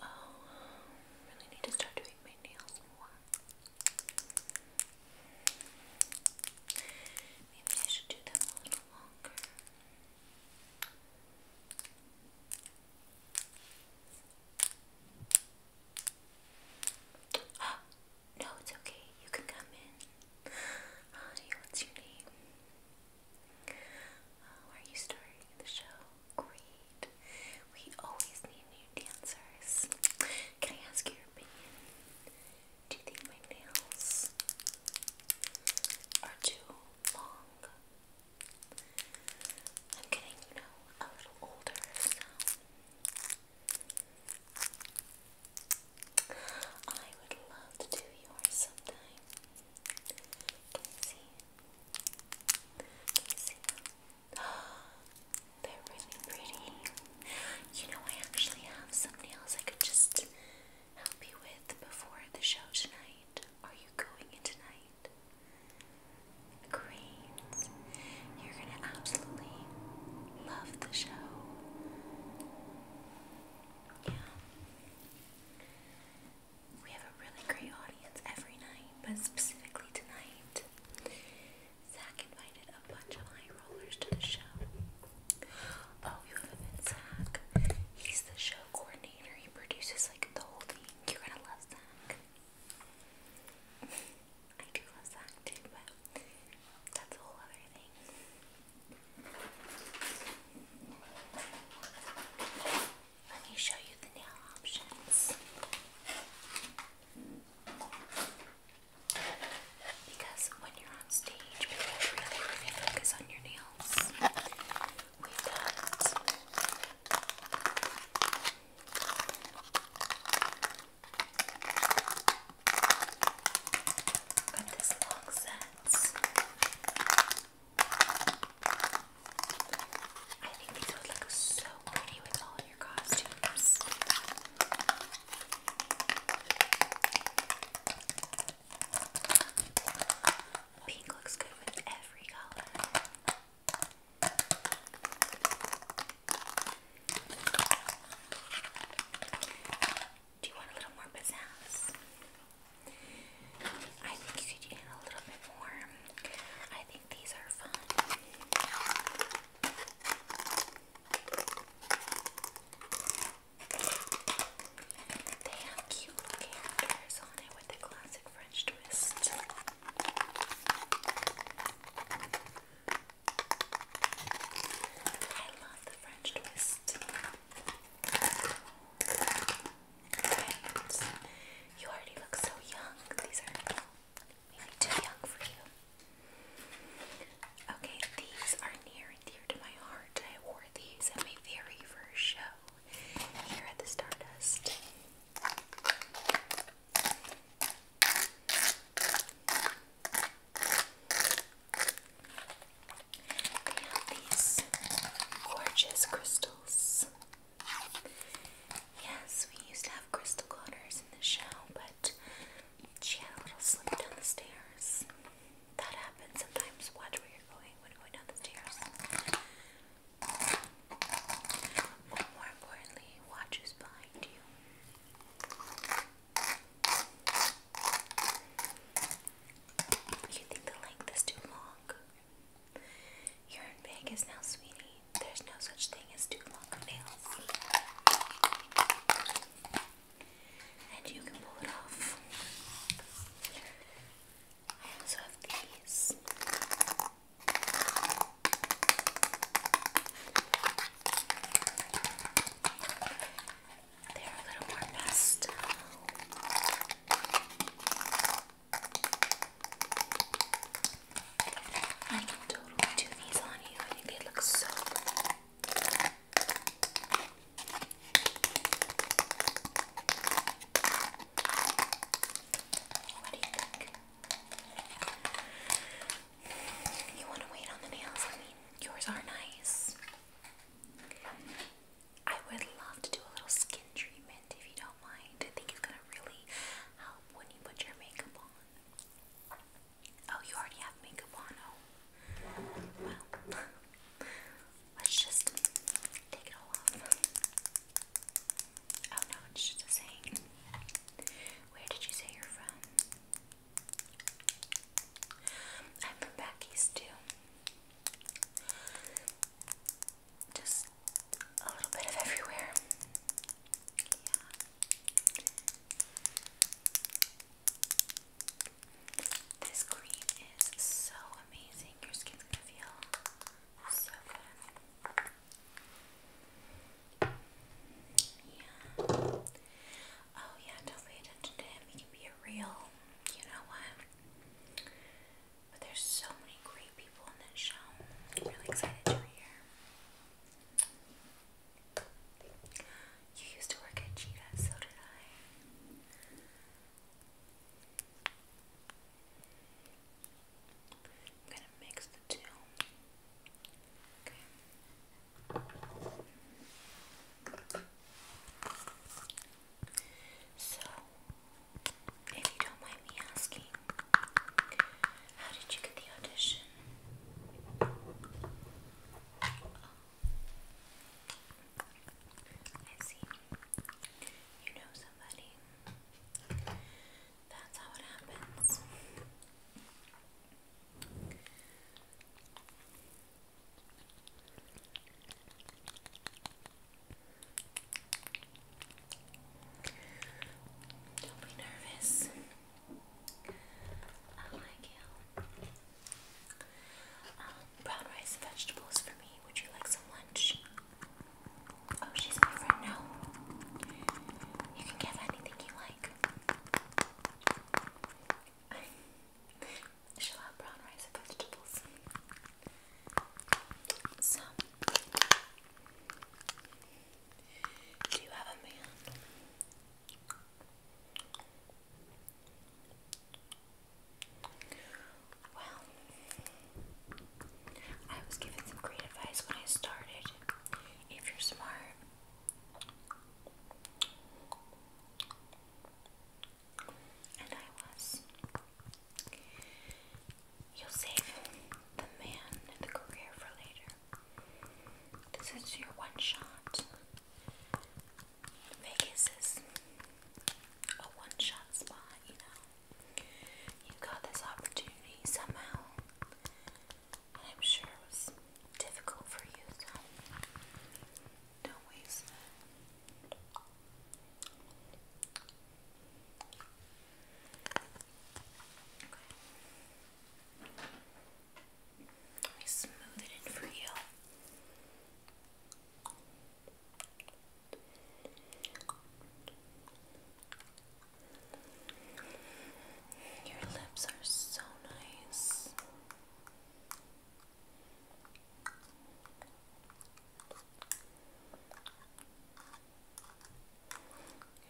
Oh, I really need to start doing my nails Maybe I should do them a little longer. No, it's okay. You can come in. Hi, what's Oh, are you starting the show? Great. We always need new dancers. Can I ask your opinion? Do you think my nails are too long? I'm getting, you know, a little older, so I would love to do yours sometime. Can see? They're really pretty. You know, I actually have some nails I could just help you with before the show tonight. Are you going in tonight? Great. You're gonna absolutely love the show. Yeah. We have a really great audience every night, but specifically tonight. Zach invited a bunch of high rollers to the show. Oh, you have Zach. He's the show coordinator. He produces like the whole thing. You're gonna love Zach. I do love Zach too, but that's a whole other thing. Let me show you the nail options. Because when you're on stage, people really, really focus on your nails. We've this long set. I think these would look so pretty with all your costumes. Pink looks good with every color. Do you want a little more pizzazz? I think you could eat a little bit more. I think these are fun. They have cute characters on it with the classic French twist. I love the French twist. You already look so young. These are too young for you. Okay, these are near and dear to my heart. I wore these at my very first show here at the Stardust. We have these gorgeous crystals. Yes, we used to have crystal glitters in the show, but she had a little slip down the stairs. That happens sometimes. Watch where you're going when going down the stairs. more importantly, watch who's behind you. You think the length is too long? You're in now, sweetie. There's no such thing as too long nails. And you can pull it off. I also have these. They're a little more pastel. I can totally do these on you. I think they look so good. What do you think? You want to wait on the nails? I mean, yours are nice. I would love to do a little skin treatment if you don't mind. I think it's gonna really help when you put your makeup on. Oh, you already have makeup on. Oh, well, let's just take it all off. Oh no, it's just the same. Where did you say you're from? I'm from back east too just a little bit of everywhere. Yeah. This cream is so amazing. Your skin's gonna feel so good. Yeah. Oh yeah, don't pay attention to him. He can be a real, you know what? But there's so many great people in this show. I'm really excited you're here. You used to work at Cheetah, so did I. I'm gonna mix the two. Okay. So, if you don't mind me asking, how did you get the audition? Oh, I see. You know somebody. That's how it happens. Don't be nervous. I like you. Um, brown rice and vegetables for me. Would you like some lunch? Oh, she's my friend now. You can give anything you like. She'll brown rice and vegetables. So, do you have a man? Well, I was given some great advice when I started. If you're smart, and I was. You'll save the man and the career for later. This is your one shot. Vegas is a one shot spot, you know. got this opportunity somehow. I'm sure it was difficult for you, so don't waste it. Let me smooth it in for you. Your lips are so nice.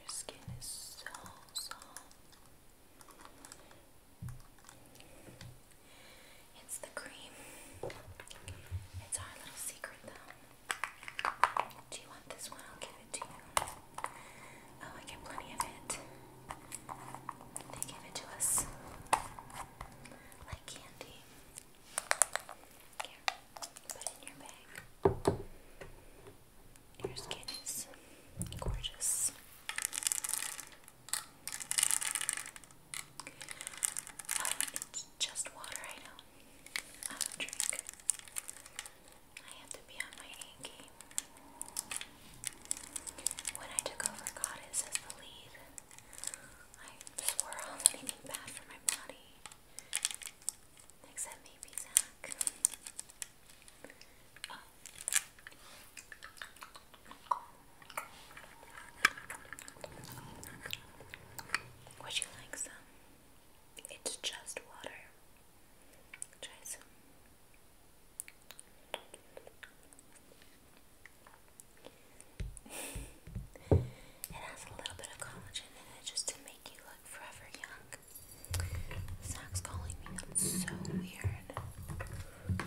Your skin is so soft. It's the cream. It's our little secret, though. Do you want this one? I'll give it to you. Oh, I get plenty of it. They give it to us like candy. Here, put in your bag. Your skin is gorgeous. it's just water, I know. I don't I have to be on my game. When I took over Goddess as the lead, I swore off anything bad for my body. Except maybe Zach. Oh. Would you like some? It's just water. Try some it has a little bit of collagen in it just to make you look forever young. Zach's calling me. That's so weird.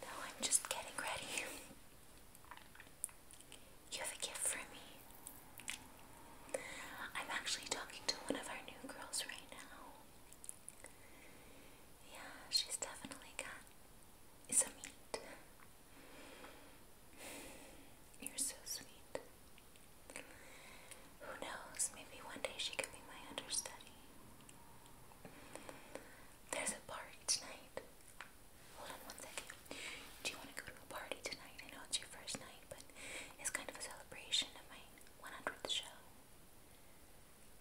no, I'm just getting ready. You have a gift for me. I'm actually talking to one of our new girls right now. Yeah, she's definitely got some meat. You're so sweet. Who knows? Maybe one day she could be my understudy. There's a party tonight. Hold on one second. Do you want to go to a party tonight? I know it's your first night, but it's kind of a celebration of my 100th show.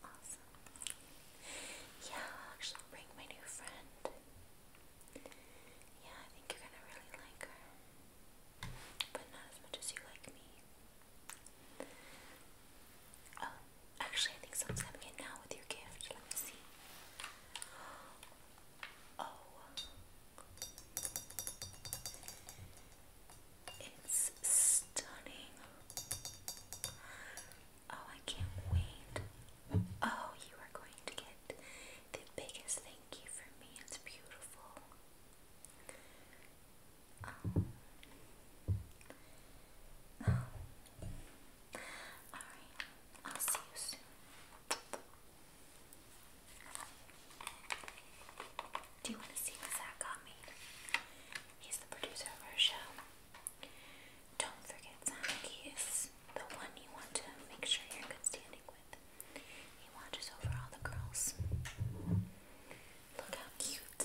Awesome. Yeah, I'll bring my new friend. Yeah, I think you're gonna really like her. But not as much as you like me. Oh, actually, I think someone's coming in now with your gift. Let me see. Oh, it's stunning. Oh, I can't wait. Oh, you are going to get the biggest thank you from me. It's beautiful. Um, Alright, I'll see you soon. Do you want to see what Zach got me? He's the producer of our show. Don't forget Zach, is the one you want to make sure you're good standing with. He watches over all the girls. Look how cute.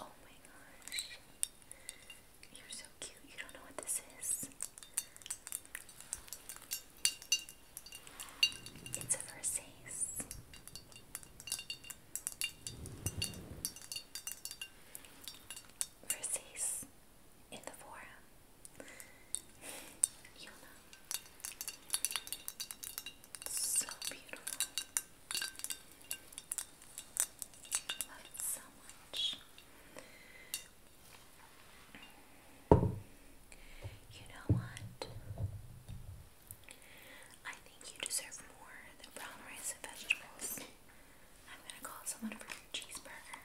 Oh my gosh. You're so cute. You don't know what this is. It's a Versace. Versace in the forum. You'll know. So beautiful. I love it so much. You know what? I think you deserve more than brown rice and vegetables. I'm gonna call someone for a cheeseburger.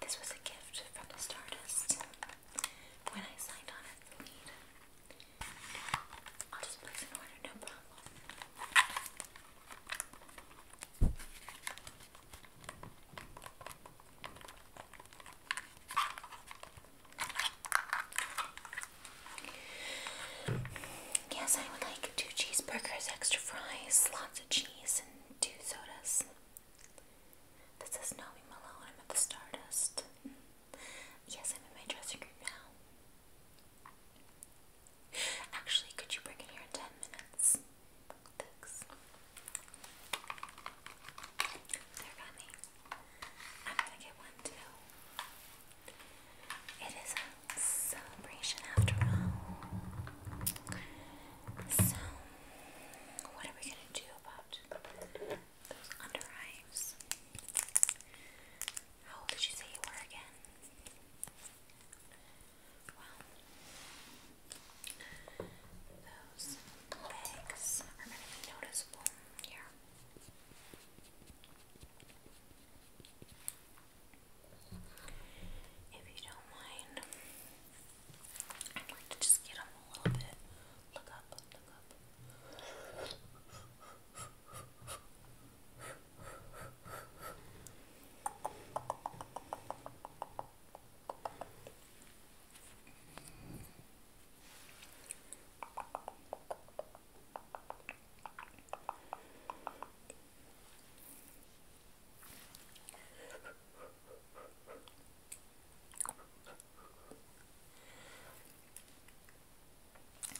This was a gift from the Stardust when I signed on I'll just place an order, no problem. Yes, I would like two cheeseburgers, extra fries, lots of cheese, and two sodas. This is Noe Malone. I'm at the Stardust. Yes, I'm in my dressing room now. Actually, could you bring it here in 10 minutes? Thanks. They're gummy. I'm gonna get one too. It is a celebration after all. So, what are we gonna I about those under eyes. How old did you say you were again? Well, those bags are going noticeable here. If you don't mind, I'd like to just get them a little bit. Look up, look up.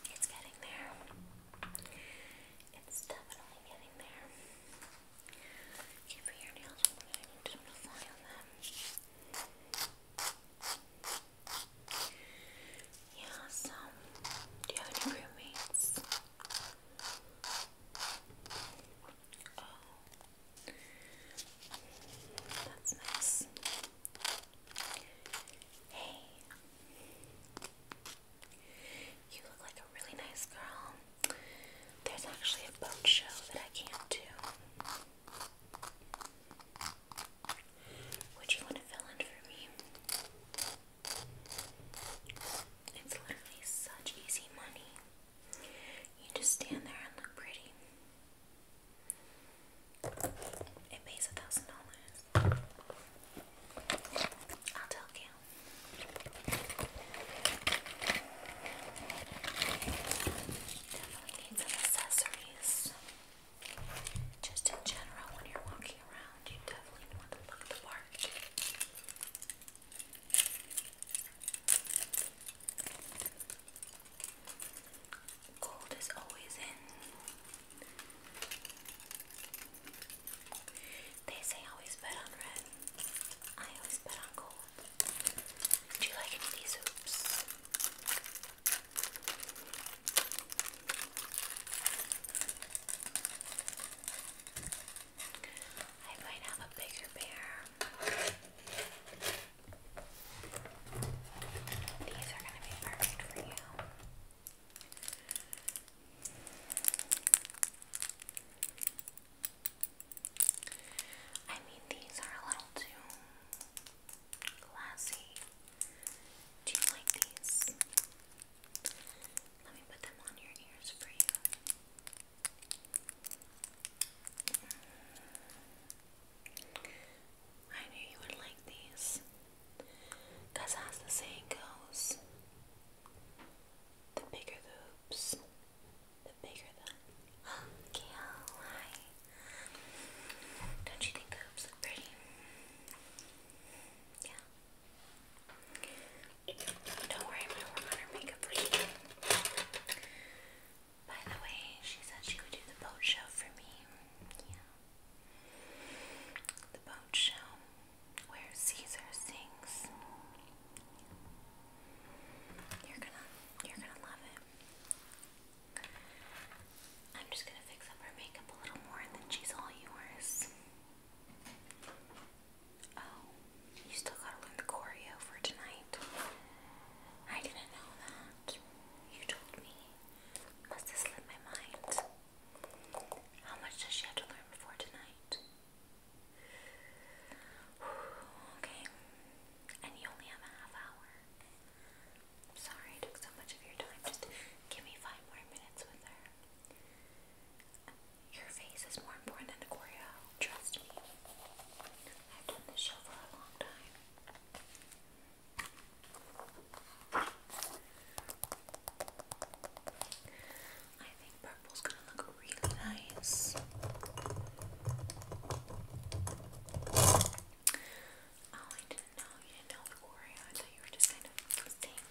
It's getting there. It's definitely getting there. Keep your nails open. I need them on them. Yeah, so do you have any roommates? Oh, that's nice. Hey. You look like a really nice girl. There's actually a boat show that I can't do. Would you want to fill in for me? It's literally such easy money. You just stand there and look pretty. It pays a thousand dollars. I'll tell you. Definitely need accessories. Just in general, when you're walking around, you definitely want to look the part. Gold is always in. They say always bet on red. I always bet on gold. Do you like any of these hoops? I might have a bigger bear. These are going to be perfect for you. I mean, these are a little too classy. Do you like these? Let me put them on your ears for you. I knew you would like these. as the saying goes, the bigger the hoops, the bigger the... Oh, Gail, hi. Don't you think hoops look pretty? Yeah. Don't worry, I'm going to her makeup for you. By the way, she said she would do the boat show for me. Yeah. The boat show where Caesar sings. You're gonna you're gonna love it. I'm just gonna fix up her makeup a little more and then she's all yours. Oh, you still gotta learn the choreo for tonight. I didn't know that. You told me. Must have slipped my mind. How much does she have to learn before tonight? Okay. And you only have a half hour. sorry took so much of your time. Just give me five more minutes with her. Your face is more important than the choreo trust me. I've done this show for a long time. I think purple's gonna look really nice. Oh, I didn't know you didn't know the Oreo. I thought you were just kind of saying that.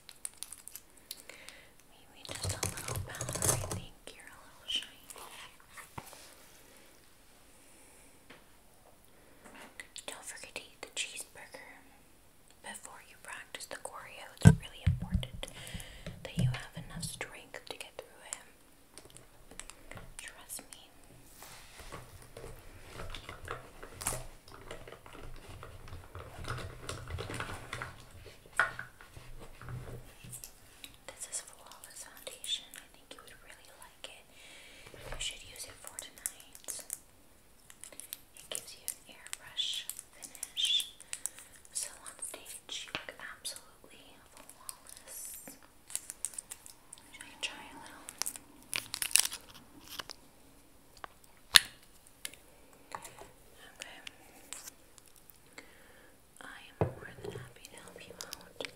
Don't forget to eat the cheeseburger before you practice the choreo. It's really important that you have enough strength to get through it. Trust me. This is Flawless Foundation. I think you would really like it. You should use it for tonight. It gives you an airbrush finish. So on stage, you look absolutely flawless. Should I try a little? Okay. I am more than happy to help you out.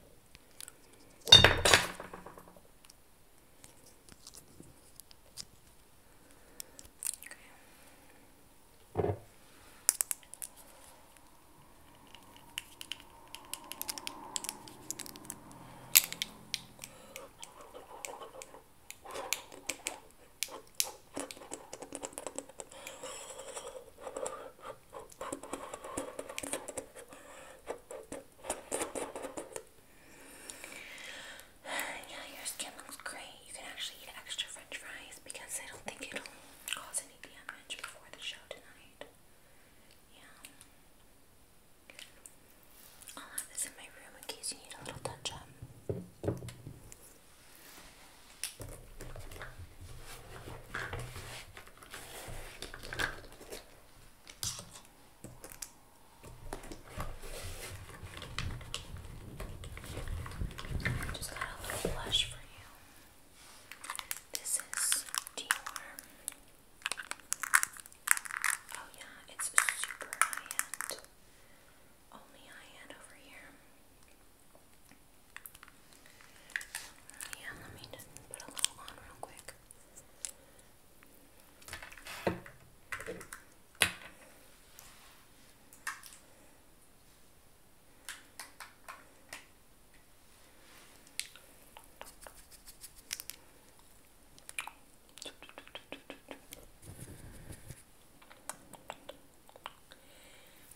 yeah, your skin looks great. You can actually eat extra french fries because I don't think it'll cause any damage before the show tonight. Yeah. I'll have this in my room in case you need a little touch up. Just got a little blush for you. This is Dior. Oh yeah, it's super high end only I had over here. Yeah, let me just put a little on real quick.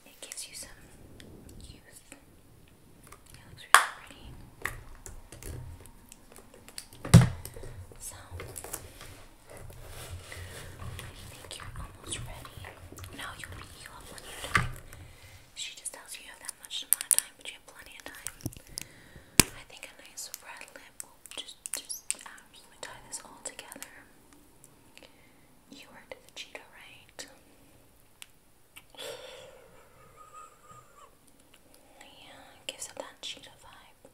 It gives you some youth. It looks really pretty. So, I think you're almost ready. No, you'll be, you have plenty of She just tells you you have that much amount of time, but you have plenty of time. I think a nice red lip just, just absolutely tie this all together. You heard the cheetah, right? Yeah, gives it that cheetah vibe.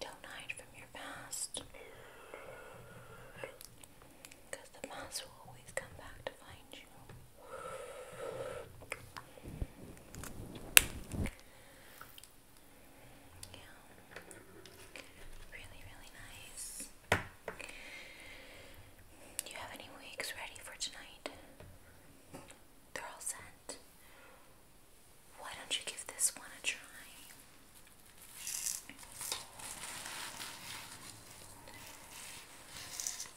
Don't hide from your past. Because the past will always come back to find do you have any wigs ready for tonight? They're all sent. Why don't you give this one a try? It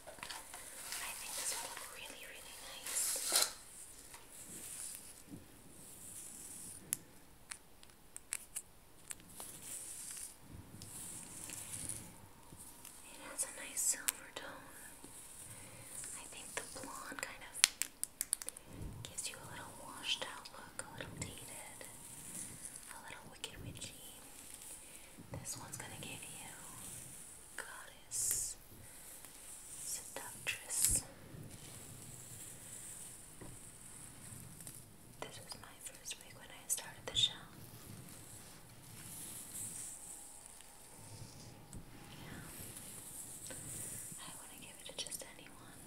has a nice silver tone. I think the blonde kind of gives you a little washed out look, a little dated, a little wicked witchy. This one's gonna give you goddess, seductress. This was my first week when I started the show. Yeah. I wouldn't give it to just anyone.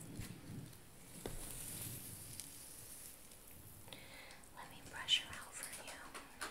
Let me brush her out for you.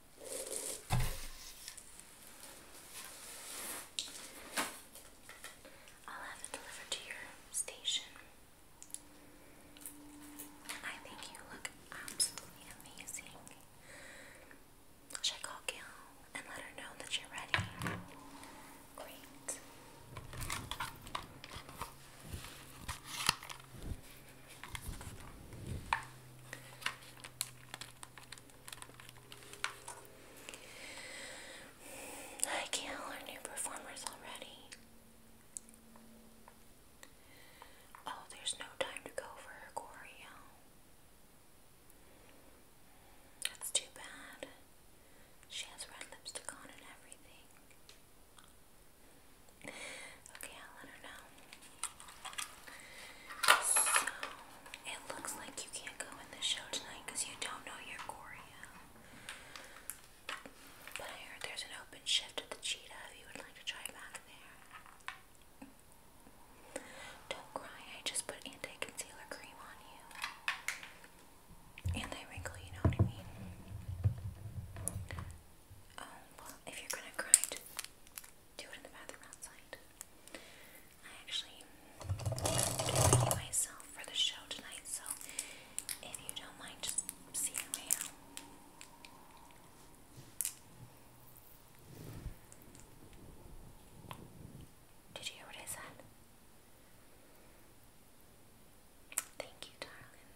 I'll have it delivered to your station. I think you look absolutely amazing. Should I call Gail and let her know that you're ready? Great. I can't learn new performers already. Oh, there's no time to go for her That's too bad. She has red lipstick on and everything. Okay, I'll let her know. So, it looks like you can't go in the show tonight because you don't know your choreo. But I heard there's an open shift at the Cheetah if you would like to try back there. Don't cry, I just put anti-concealer cream on you. And wrinkle, you know what I mean? Oh, well, if you're gonna cry, do it in the bathroom outside. I actually am myself for the show tonight, so if you don't mind, see my way Did you hear what I said? Thank you, darling.